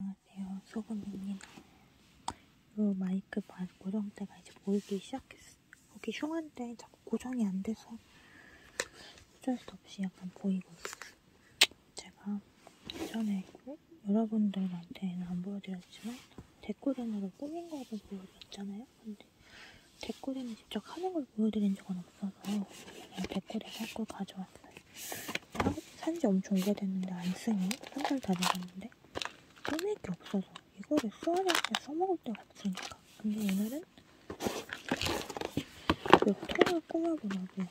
안녕하세요 아, 네, 소금입니다 요 마이크 반 고정대가 이제 보이기 시작했어요 여기 흉한데 자꾸 고정이 안 돼서 어쩔 수 없이 약간 보이고 있어요 제가 전에 여러분들한테는 안 보여드렸지만 데코덴으로 꾸민 거를 보여드렸잖아요 근데 데코덴을 직접 하는 걸 보여드린 적은 없어서 데코덴 할걸 가져왔어요 산지 엄청 오래됐는데 안 쓰니? 한 달다 돼갔는데 꺼낼 게 없어서 이거를 써야 할때 써먹을 데가 없으니까 근데 오늘은 몇 통을 꾸며보려고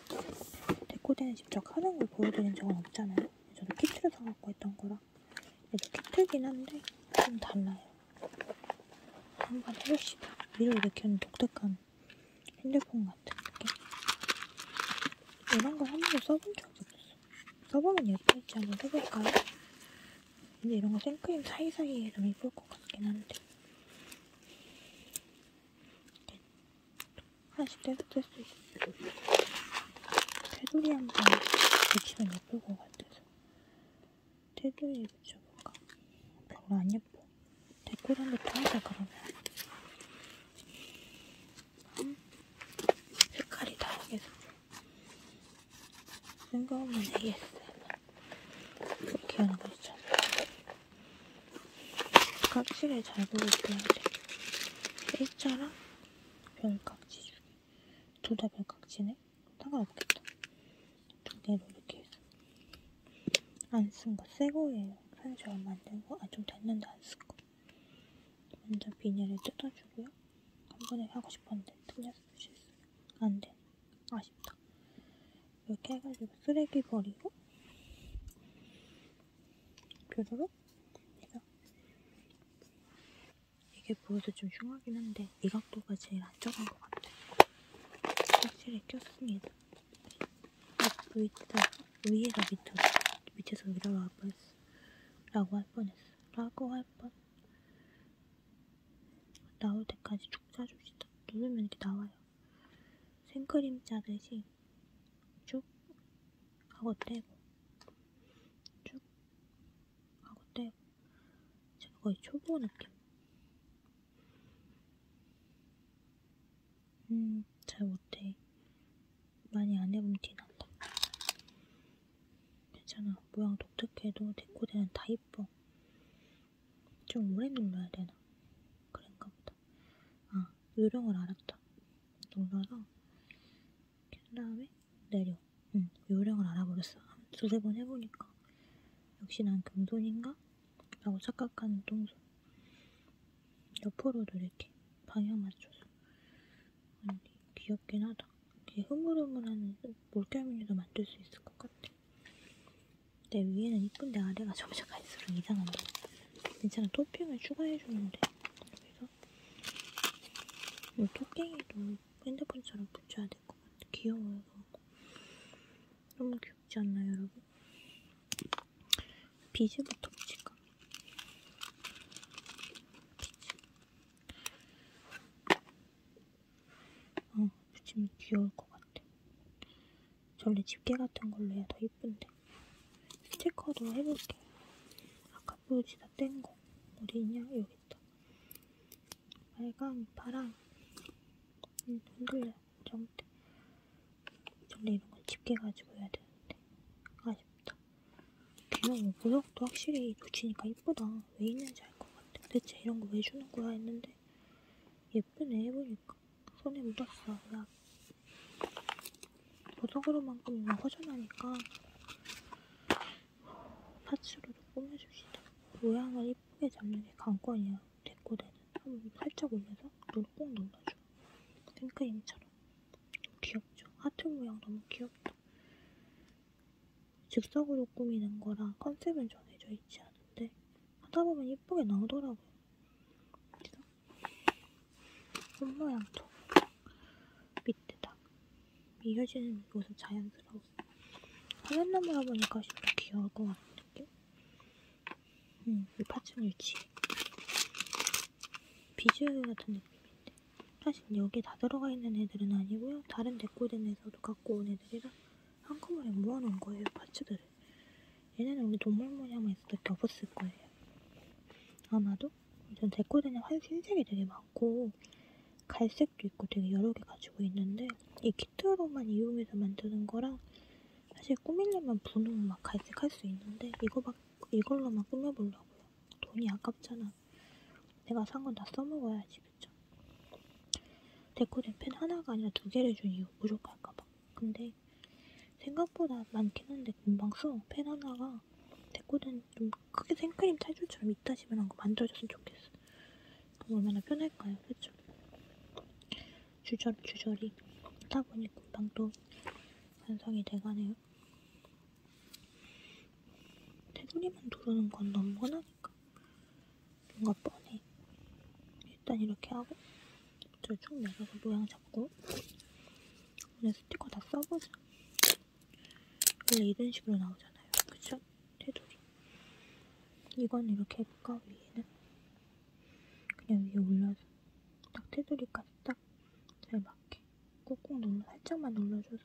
데코덴을 직접 하는 걸 보여드린 적은 없잖아요 저도 키트를 사갖고 했던 거라 얘도 키트긴 한데 좀 달라요 한번 해봅시다 위로 이렇게 하는 독특한 핸드폰 같은 느낌? 이런 걸한 번도 써본 적이 없어. 써보면 예쁠지 한번 써볼까요? 근데 이런 거 생크림 사이사이에 좀 예쁠 것 같긴 한데. 네. 하나씩 떼서 뗄수 있어. 테두리 한번 붙이면 예쁠 것 같아서. 테두리 붙여볼까? 별로 안 예뻐. 데코란부터 하자 그러면 색깔이 다르겠어 생각없는 ASMR 그렇게 하는 거 있죠 깍지를 잘 보여줘야 돼 A자랑 별깍지 주기 둘다 별깍지네? 상관없겠다 두 개로 이렇게 해서 안쓴거 새거예요. 편지 얼마 안된 거? 아, 좀 됐는데 안 쓴 거. 먼저 비닐을 뜯어주고요. 한 번에 하고 싶었는데 틀렸어, 실수. 안 돼. 아쉽다. 이렇게 해가지고 쓰레기 버리고 뾰루룩 해서 이게 보여서 좀 흉하긴 한데 이 각도가 제일 안전한 것 같아요. 확실히 꼈습니다. 보이다 그 위에서 밑으로 밑에서 위로 올라갈 뻔했어 라고 할 뻔했어 라고 할 뻔 나올 때까지 쭉 짜줍시다 누르면 이렇게 나와요 생크림 짜듯이 쭉 하고 떼고 쭉 하고 떼고 제가 거의 초보 느낌 음, 잘 못해. 많이 안 해본 티 난다. 괜찮아. 모양 독특해도 데코대는 다 이뻐. 좀 오래 눌러야 되나? 그런가 보다. 아, 요령을 알았다. 눌러서 캔 다음에 내려. 응, 요령을 알아버렸어. 두세 번 해보니까. 역시 난 금손인가? 라고 착각하는 똥손 옆으로도 이렇게 방향 맞춰서 아니, 귀엽긴 하다 이렇게 흐물흐물한 몰결미도 만들 수 있을 것 같아 내 위에는 이쁜데 아래가 점점 갈수록 이상한데 괜찮아 토핑을 추가해주는데 그래서 이 뭐 토깽이도 핸드폰처럼 붙여야 될 것 같아 귀여워요 너무 귀엽지 않나요, 여러분? 비즈부터 보실까? 어, 붙이면 귀여울 것 같아. 원래 집게 같은 걸로 해야 더 이쁜데. 스티커도 해볼게. 아까 보여주다 뗀 거. 어디 있냐? 여기 있다. 빨강, 파랑. 음, 흔들려. 좀 원래 이런 건 집게 가지고 해야 되는데 아쉽다. 귀여워. 모양도 뭐 확실히 붙이니까 이쁘다. 왜 있는지 알 것 같아. 대체 이런 거 왜 주는 거야 했는데 예쁘네 해보니까 손에 묻었어. 야 보석으로만큼 허전하니까 파츠로도 꾸며줍시다. 모양을 이쁘게 잡는 게 관건이야. 레코더는 살짝 올려서 눈을 꼭 눌러줘. 생크림처럼. 귀엽죠? 하트 모양 너무 귀엽죠? 즉석으로 꾸미는 거라 컨셉은 정해져 있지 않은데 하다 보면 예쁘게 나오더라고요. 그래서 손모양도 밑에다 이어지는 모습 자연스러워. 하얀 나무라 보니까 진짜 귀여울 것 같은 느낌? 음, 이 파충류지. 비주류 같은 느낌인데. 사실 여기 다 들어가 있는 애들은 아니고요. 다른 데꼬덴에서도 갖고 온 애들이라 한꺼번에 모아놓은 거예요, 파츠들을. 얘네는 우리 동물모양만 있어도 겹었을 거예요. 아마도? 전 데꼬덴에 활 흰색이 되게 많고, 갈색도 있고 되게 여러 개 가지고 있는데, 이 키트로만 이용해서 만드는 거랑 사실 꾸밀려면 분홍 막 갈색 할 수 있는데 이거 막 이걸로만 꾸며보려고요. 돈이 아깝잖아. 내가 산 건 다 써먹어야지 그쵸? 데코된 펜 하나가 아니라 두 개를 준 이유 부족할까봐. 근데 생각보다 많긴 한데 금방 써. 펜 하나가 데코된 좀 크게 생크림 탈출처럼 이따시만한 거 만들어줬으면 좋겠어. 그럼 얼마나 편할까요, 그쵸? 주저리주저리 하다 보니 금방 또 완성이 돼가네요. 테두리만 두르는 건 너무 뻔하니까 뭔가 뻔해. 일단 이렇게 하고 밑으로 쭉 내려서 모양 잡고 오늘 스티커 다 써보자. 원래 이런 식으로 나오잖아요. 그쵸? 테두리. 이건 이렇게 해볼까? 위에는? 그냥 위에 올려서 딱 테두리까지 딱잘 맞게 꾹꾹 눌러 살짝만 눌러줘서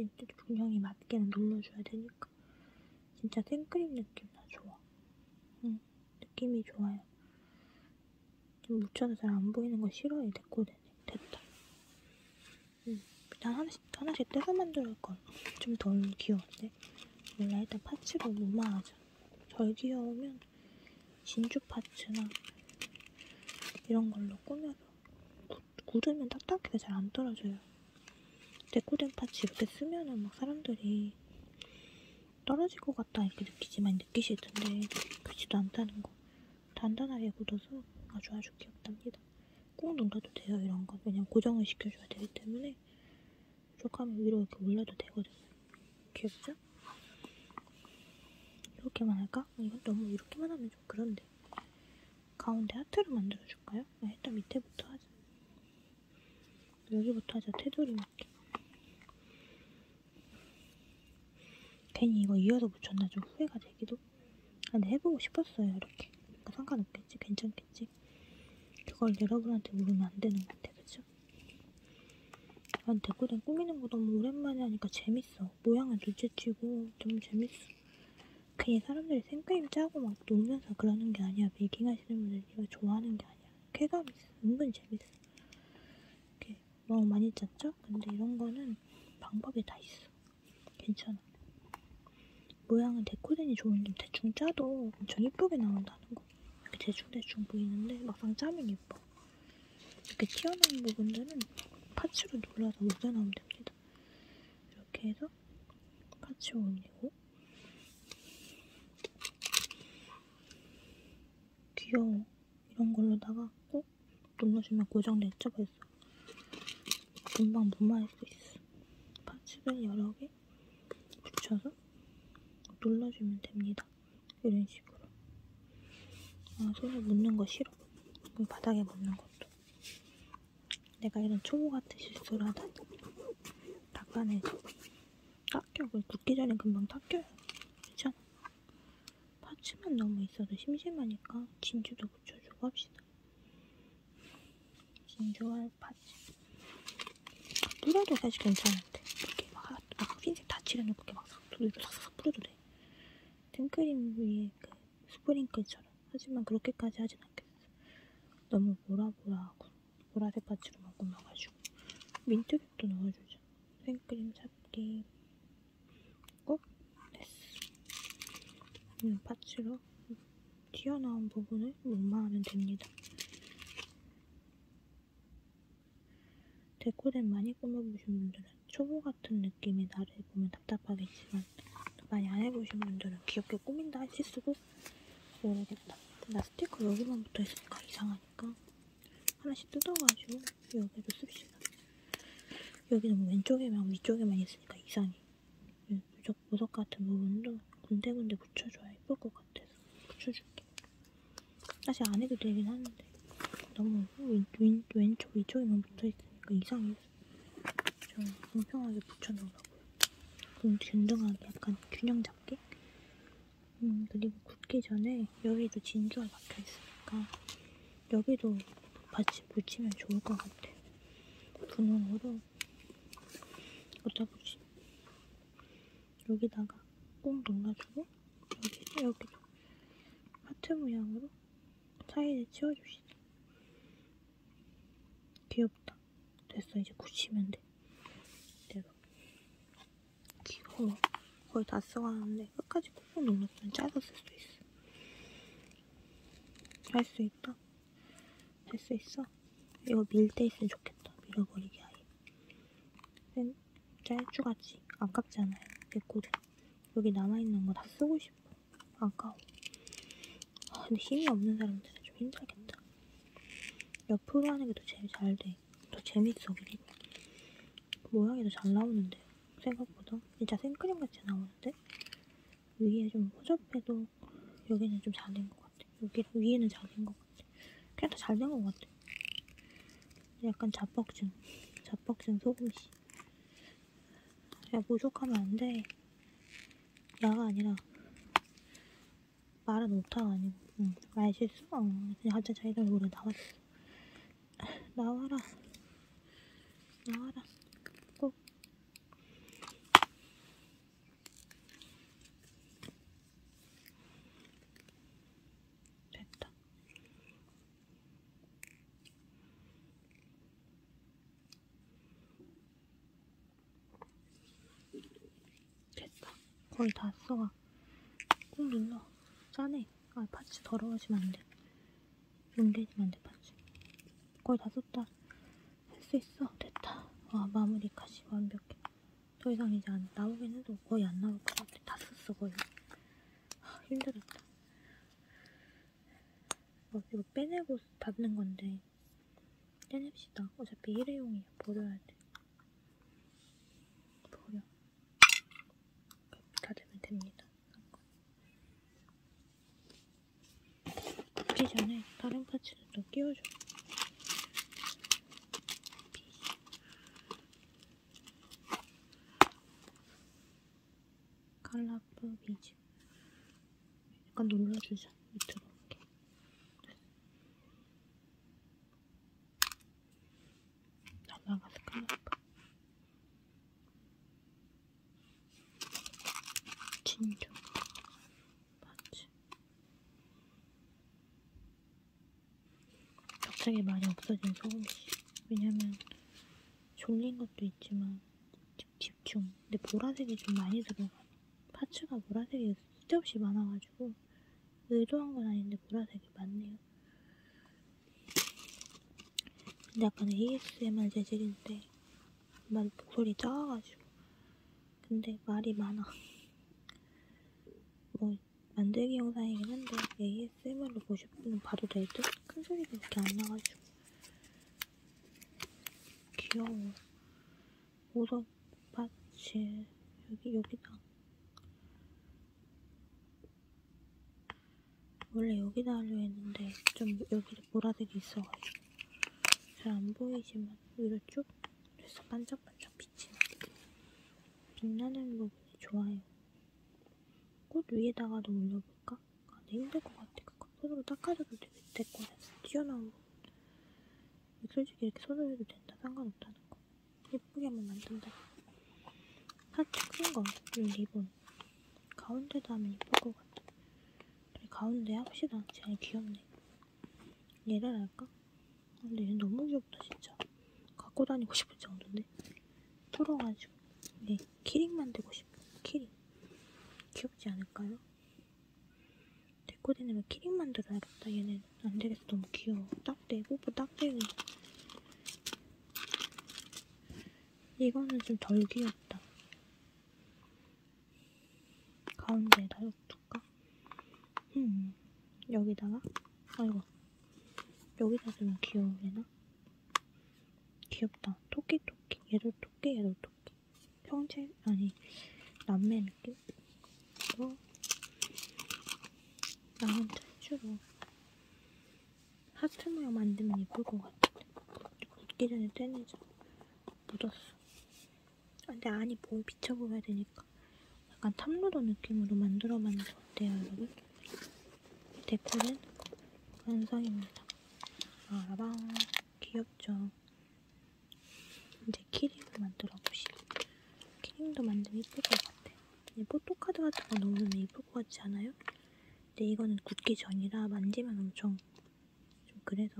여기 중량이 맞게는 눌러줘야 되니까 진짜 생크림 느낌 나 좋아 응 느낌이 좋아요 좀 묻혀서 잘 안 보이는 거 싫어해 데코데네 됐다 응 일단 하나씩 하나씩 떼서 만들어올건 좀덜 귀여운데 몰라 일단 파츠로 무마하자 덜 귀여우면 진주 파츠나 이런 걸로 꾸며서 굳으면 딱딱하게 잘 안 떨어져요 데코된 파츠 이렇게 쓰면은 막 사람들이 떨어질 것 같다 이렇게 느끼지만 느끼실 텐데 그렇지도 않다는 거 단단하게 굳어서 아주 아주 귀엽답니다 꾹 눌러도 돼요 이런 건 왜냐면 고정을 시켜줘야 되기 때문에 이렇게 하면 위로 이렇게 올려도 되거든요 귀엽죠? 이렇게만 할까? 이건 너무 이렇게만 하면 좀 그런데 가운데 하트를 만들어줄까요? 아, 일단 밑에부터 하자 여기부터 하자 테두리 맞게 괜히 이거 이어서 붙였나 좀 후회가 되기도 아, 근데 해보고 싶었어요 이렇게 그러니까 상관없겠지 괜찮 있겠지? 그걸 여러분한테 물으면 안 되는 건데, 그죠? 난 대구댕 꾸미는 거 너무 오랜만에 하니까 재밌어. 모양을 눈치치고 좀 재밌어. 괜히 사람들이 생크림 짜고 막 놀면서 그러는 게 아니야. 메이킹 하시는 분들 이거 좋아하는 게 아니야. 쾌감 있어. 은근 재밌어. 이렇게 너무 많이 짰죠? 근데 이런 거는 방법이 다 있어. 괜찮아. 모양은 데코딘이 좋은 게 대충 짜도 엄청 이쁘게 나온다는 거. 이렇게 대충대충 보이는데 막상 짜면 예뻐. 이렇게 튀어나온 부분들은 파츠로 눌러서 우겨나오면 됩니다. 이렇게 해서 파츠 올리고 귀여워 이런 걸로다가 꼭 눌러주면 고정됐죠 벌써 금방 무마할 수 있어 반스를 여러 개 붙여서 눌러주면 됩니다. 이런 식으로. 아, 손에 묻는 거 싫어. 바닥에 묻는 것도. 내가 이런 초보 같은 실수를 하다니. 닦아내지. 닦여. 그 굳기 전에 금방 닦여요. 괜찮아. 파츠만 너무 있어도 심심하니까 진주도 붙여주고 합시다. 진주알 파츠. 뿌려도 사실 괜찮은데. 이렇게 막, 아, 흰색 다 칠해놓고 이렇게 막 두드려 싹싹 뿌려도 돼. 생크림 위에 그 스프링클처럼. 하지만 그렇게까지 하진 않겠어. 너무 보라보라하고 보라색 파츠로만 꾸며가지고. 민트색도 넣어주자. 생크림 잡기. 꼭 됐어. 음, 파츠로 튀어나온 부분을 문마하면 됩니다. 데코된 많이 꾸며보신 분들은 초보 같은 느낌이 나를 보면 답답하겠지만 많이 안 해보신 분들은 귀엽게 꾸민다 하실 수도 모르겠다. 나 스티커 여기만 붙어있으니까 이상하니까 하나씩 뜯어가지고 여기도 씁시다. 여기는 왼쪽에만 위쪽에만 있으니까 이상해. 무적, 음, 무적 같은 부분도 군데군데 붙여줘야 예쁠 것 같아서 붙여줄게. 사실 안 해도 되긴 하는데 너무 왼, 왼, 왼쪽 위쪽에만 붙어있으니까 이상해서 좀 공평하게 붙여놓으라고요. 좀 균등하게 약간 균형 잡게? 음, 그리고 굳기 전에 여기도 진주가 박혀있으니까 여기도 같이 붙이면 좋을 것 같아요. 분홍으로 어쩌보지 여기다가 꽁 눌러주고 여기 여기도 하트 모양으로 사이에 치워줍시다 귀엽다 됐어 이제 굳히면 돼 이대로 귀여워 거의 다 써가는데 끝까지 꾹꾹 눌렀으면 짧았을 수도 있어 할 수 있다 할수 있어? 이거 밀 때 있으면 좋겠다. 밀어버리기 아예. 쌤, 짤주같이 아깝잖아요. 내 코드. 여기 남아있는 거 다 쓰고 싶어. 아까워. 아, 근데 힘이 없는 사람들은 좀 힘들겠다. 옆으로 하는 게 더 재미 잘 돼. 더 재밌어, 그림. 모양이 더 잘 나오는데. 생각보다. 진짜 생크림 같이 나오는데? 위에 좀 허접해도 여기는 좀 잘 된 것 같아. 여기 위에는 잘 된 것 같아. 그래도 잘 된 것 같아. 약간 자뻑증. 자뻑증 소금씨. 야, 모욕하면 안 돼. 야가 아니라. 말은 오타가 아니고. 응, 말실수? 어, 그냥 한자 자기들 노래 나왔어. 나와라. 나와라. 꼭 됐다. 됐다. 거의 다 써와. 꾹 눌러. 짜네. 아, 파츠 더러워지면 안 돼. 롱데님한테 봤지. 거의 다 썼다. 할 수 있어. 됐다. 와, 아, 마무리까지 완벽해. 더 이상 이제 안 나오긴 해도 거의 안 나올 것 같아. 다 썼어, 거의. 하, 아, 힘들었다. 어, 이거 빼내고 닫는 건데. 빼냅시다. 어차피 일회용이야. 버려야 돼. 버려. 다 되면 됩니다. 붙기 전에 다른 파츠를 또 끼워줘. 칼라프 비즈. 약간 눌러주자, 밑으로. 이렇게. 넘어가서 칼라프. 진정 맞지? 갑자기 많이 없어진 소금씨 왜냐면 졸린 것도 있지만 집중 근데 보라색이 좀 많이 들어가 파츠가 보라색이 쓸데없이 많아가지고 의도한 건 아닌데 보라색이 많네요 근데 약간 ASMR 재질인데 말 목소리 작아가지고 근데 말이 많아 뭐 만들기 영상이긴 한데 ASMR로 보실 분은 봐도 될 듯? 큰 소리가 이렇게 안 나가지고 귀여워 우선 파츠 여기 여기다 원래 여기다 하려 했는데 좀 여기를 보라색이 있어가지고 잘 안 보이지만 위로 쭉 그래서 반짝반짝 빛이 나고 빛나는 부분이 좋아요. 꽃 위에다가도 올려볼까? 아, 근 힘들 것 같아. 그거 손으로 닦아줘도 되겠대. 꽃에서 튀어나온 부분. 솔직히 이렇게 손으로 해도 된다. 상관없다는 거. 예쁘게만 만든다. 사치 큰 거, 이 리본. 그냥 가운데도 하면 이쁠 것 같아. 그래, 가운데 합시다. 제일 귀엽네. 얘를 할까? 근데 얘 너무 귀엽다, 진짜. 갖고 다니고 싶을 정도인데. 풀어가지고. 네, 키링 만들고 싶어. 키링. 귀엽지 않을까요? 데코 되는 키링 만들어야겠다. 얘는 안 되겠어. 너무 귀여워. 딱대, 뽀뽀 딱대기. 이거는 좀 덜 귀엽다. 가운데에다 이거 둘까? 음, 여기다가? 아이고. 여기다 주면 귀여우려나? 귀엽다. 토끼 토끼. 얘도 토끼, 얘도 토끼. 형제, 아니, 남매 느낌? 또, 나한테 주로 하트 모양 만들면 예쁠 것 같은데 입기 전에 떼내자 묻었어 아, 근데 안이 보이 뭐 비쳐 보여야 되니까 약간 탑로더 느낌으로 만들어봤는 거 어때요 여러분? 데코는 완성입니다 아라방 귀엽죠 이제 키링을 만들어 보시죠 키링도 만들면 예쁠 것 같아 포토카드 같은 거 넣으면 예쁠 것 같지 않아요? 근데 이거는 굳기 전이라 만지면 엄청 좀 그래서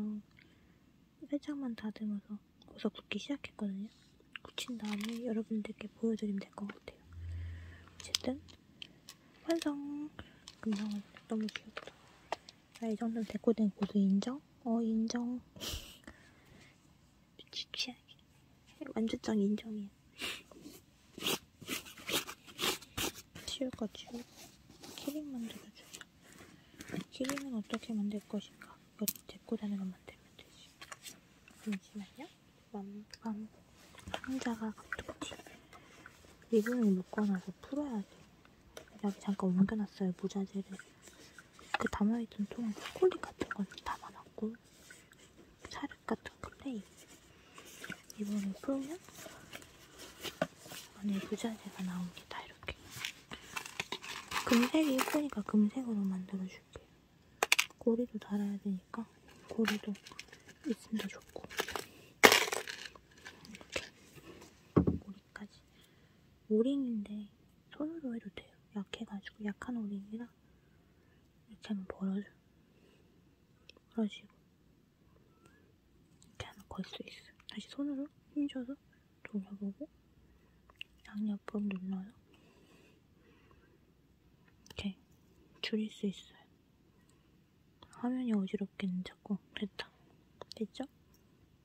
살짝만 다듬어서 벌써 굳기 시작했거든요. 굳힌 다음에 여러분들께 보여드리면 될 것 같아요. 어쨌든 완성! 금성은 너무 귀엽다. 아, 이 정도면 데코된 고수 네, 인정? 어, 인정. 취향이. 완주장 인정이야. 치울까 치우고 키링 만들어주자 키링은 어떻게 만들 것인가 이거 데리고 다니는 건 만들면 되지 잠시만요 맘밤 상자가 가득지 리본을 묶어놔서 풀어야 돼 여기 잠깐 옮겨놨어요 모자재를 그 담아있던 통에 초콜릿 같은 걸 담아놨고 사륵 같은 클레이 이번에 풀면 안에 부자재가 나옵니다. 이렇게 금색이 예쁘니까 금색으로 만들어줄게요. 고리도 달아야 되니까 고리도 있으면 더 좋고 이렇게 고리까지 오링인데 손으로 해도 돼요. 약해가지고 약한 오링이라 이렇게 한번 벌어줘. 그런 식으로 이렇게 하나 걸 수 있어요. 다시 손으로 힘줘서 돌려보고 양옆으로 눌러요. 이렇게 줄일 수 있어요. 화면이 어지럽겠는 자꾸 됐다. 됐죠?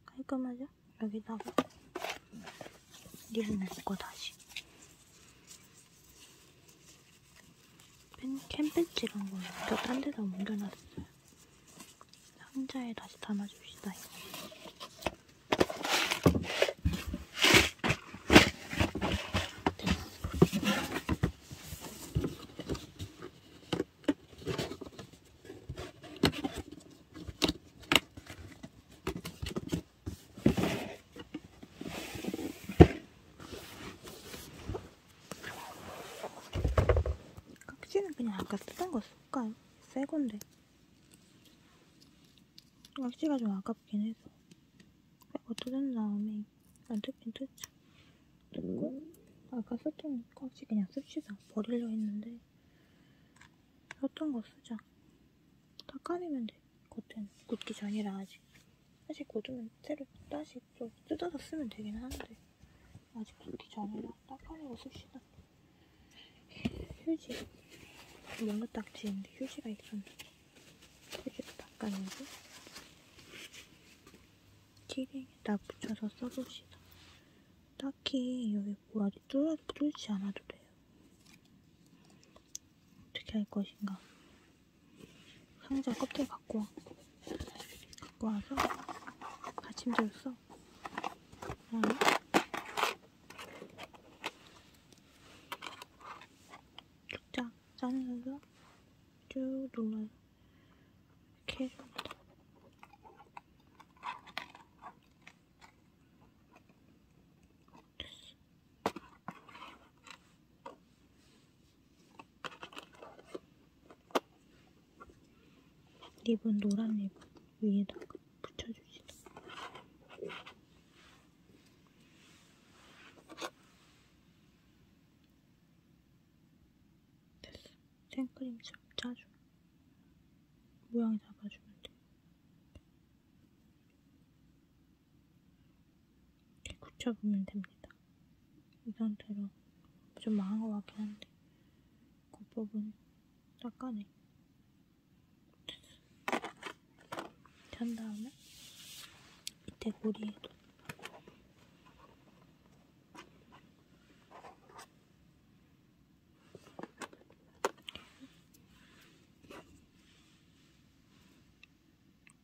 깔끔하죠? 여기다가 니를 넣고 다시 캠펜치 이런 거 옮겨 딴 데다 옮겨놨어요. 상자에 다시 담아줍시다. 깍지는 그냥 아까 쓰던 거 쓸까? 새 건데. 깍지가 좀 아깝긴 해서. 새거 뜯은 다음에 안 뜯긴 뜯죠. 뜯고 아까 썼던 깍지 그냥 씁시다. 버리려 했는데 썼던 거 쓰자. 닦아내면 돼. 돼. 겉은 굳기 전이라 아직. 사실 굳으면 새로 다시 또 뜯어서 쓰면 되긴 하는데 아직 굳기 전이라 닦아내고 씁시다. 휴지. 뭔가 딱지인데 휴지가 있었네. 휴지도 닦아내고 키링에다 붙여서 써봅시다. 딱히 여기 뭐라도 뚫지 않아도 돼요. 어떻게 할 것인가. 상자 껍데기 갖고 와. 갖고 와서 받침대로 써. 어. 쭉자 짜면서 쭉 눌러서 이렇게 해줍니다. 리본 노란 리본 위에다가 붙여주시죠. 됐어. 생크림처럼 짜줘. 모양 잡아주면 돼. 굳혀보면 됩니다. 이 상태로 좀 망한 것 같긴 한데 겉부분 그 닦아내 한 다음에 밑에 고리에도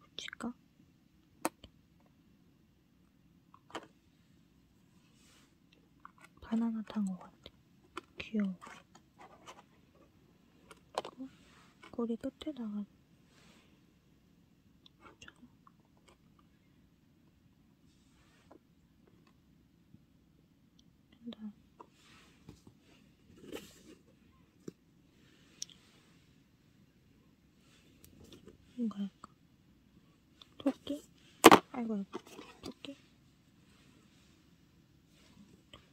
붙일까? 바나나 탄거 같아. 귀여워. 꼬리 어? 끝에다가 뭔가 할까? 토끼? 아이고 아이고 토끼?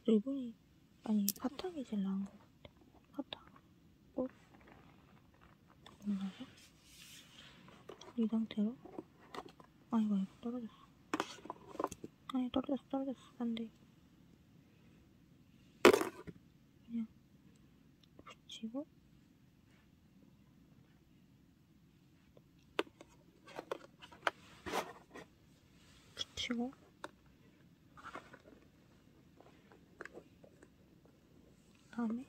리본이 아니 바탕이 제일 나은 것 같아 바탕 꼭 뭐? 뭔가요? 이 상태로? 아이고 아이고 떨어졌어 아니 떨어졌어 떨어졌어 안돼 그냥 붙이고 붙이고 다음에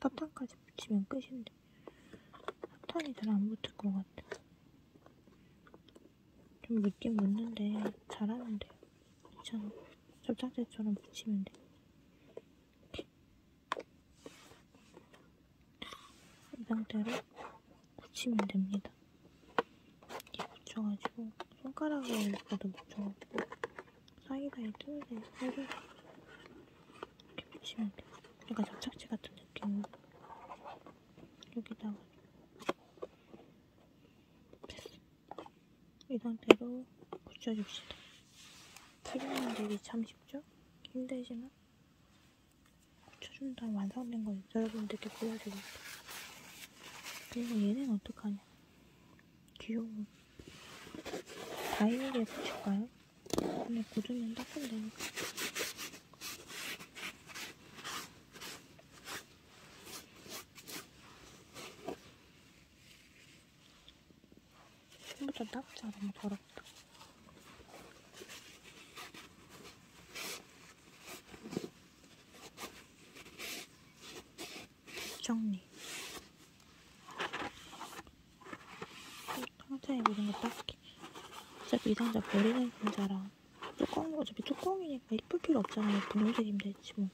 사탕까지 붙이면 끝인데 사탕이 잘 안 붙을 것 같아 좀 늦게 묻는데 잘하는데요. 괜찮아. 접착제처럼 붙이면 돼. 이 상태로 붙이면 됩니다. 이렇게 붙여가지고 손가락에 여기까지 붙여가지고 사이사이 틈새 사이로 이렇게 붙이면 돼요. 약간 그러니까 접착제 같은 느낌으로 여기다가 됐어. 이 상태로 붙여줍시다. 풀리는 일이 참 쉽죠? 힘들지만 붙여준 다음 완성된 걸 여러분들께 보여드릴게요. 그리고 얘는 어떡하냐. 귀여운 다이어리에 붙일까요? 근데 고으면 따끔 되니까. 생각보다 낙지가 너무 더럽다. 정리. 상자에 묻은 거 딱히. 어차피 이 상자 버리는 상자라. 뚜껑, 어차피 뚜껑이니까 이쁠 필요 없잖아요. 분홍색이면 되지 뭐.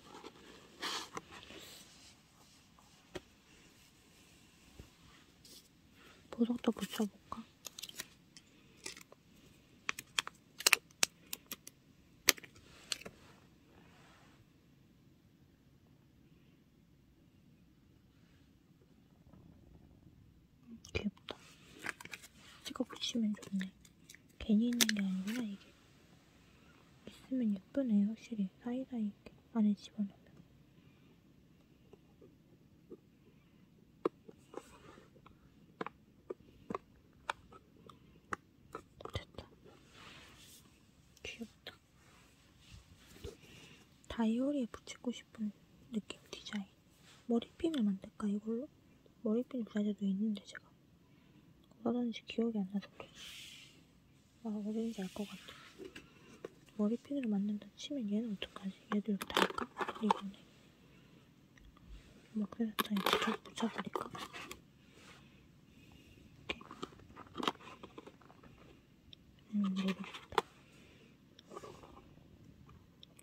보석도 붙여볼까? 귀엽다. 찍어보시면 좋네. 괜히 있는 게 아니구나, 이게. 있으면 예쁘네, 확실히. 사이사이 이렇게 안에 집어넣으면. 됐다. 귀엽다. 다이어리에 붙이고 싶은 느낌 디자인. 머리핀을 만들까 이걸로? 머리핀 브라자도 있는데 제가 어디다는지 기억이 안 나서 그래. 아 어딘지 알 것 같아. 머리핀으로 만든다 치면 얘는 어떡하지? 얘도 이렇게 할까? 이거네. 막 그래서 다 이렇게 붙여버릴까? 음, 모르겠다.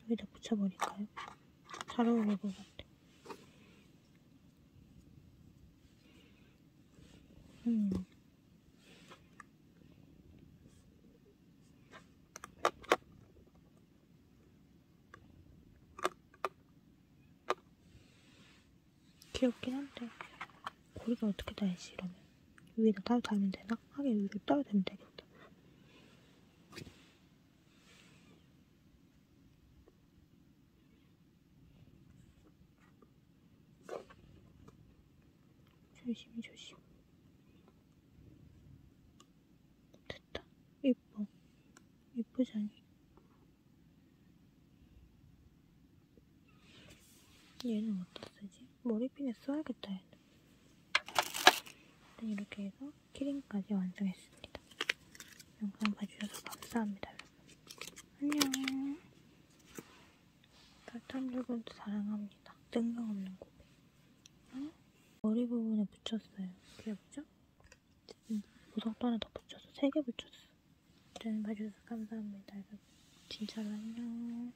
여기다 붙여버릴까요? 잘 어울릴 것 같아. 음. 귀엽긴 한데 고리가 어떻게 달지 이러면 위에다 따로 달면 되나? 하긴 위로 따로 달면 되겠다 조심히 조심 됐다 예뻐 예쁘잖니 얘는 어디다 쓰지? 머리핀에 써야겠다 얘는 일단 네, 이렇게 해서 키링까지 완성했습니다. 영상 봐주셔서 감사합니다, 여러분. 안녕. 달탄 여러분도 사랑합니다. 뜬금없는 고백. 응? 머리 부분에 붙였어요. 그게 뭐죠? 음, 보석도 하나 더 붙였어. 세개 붙였어. 일단 봐주셔서 감사합니다, 여러분. 진짜로 안녕.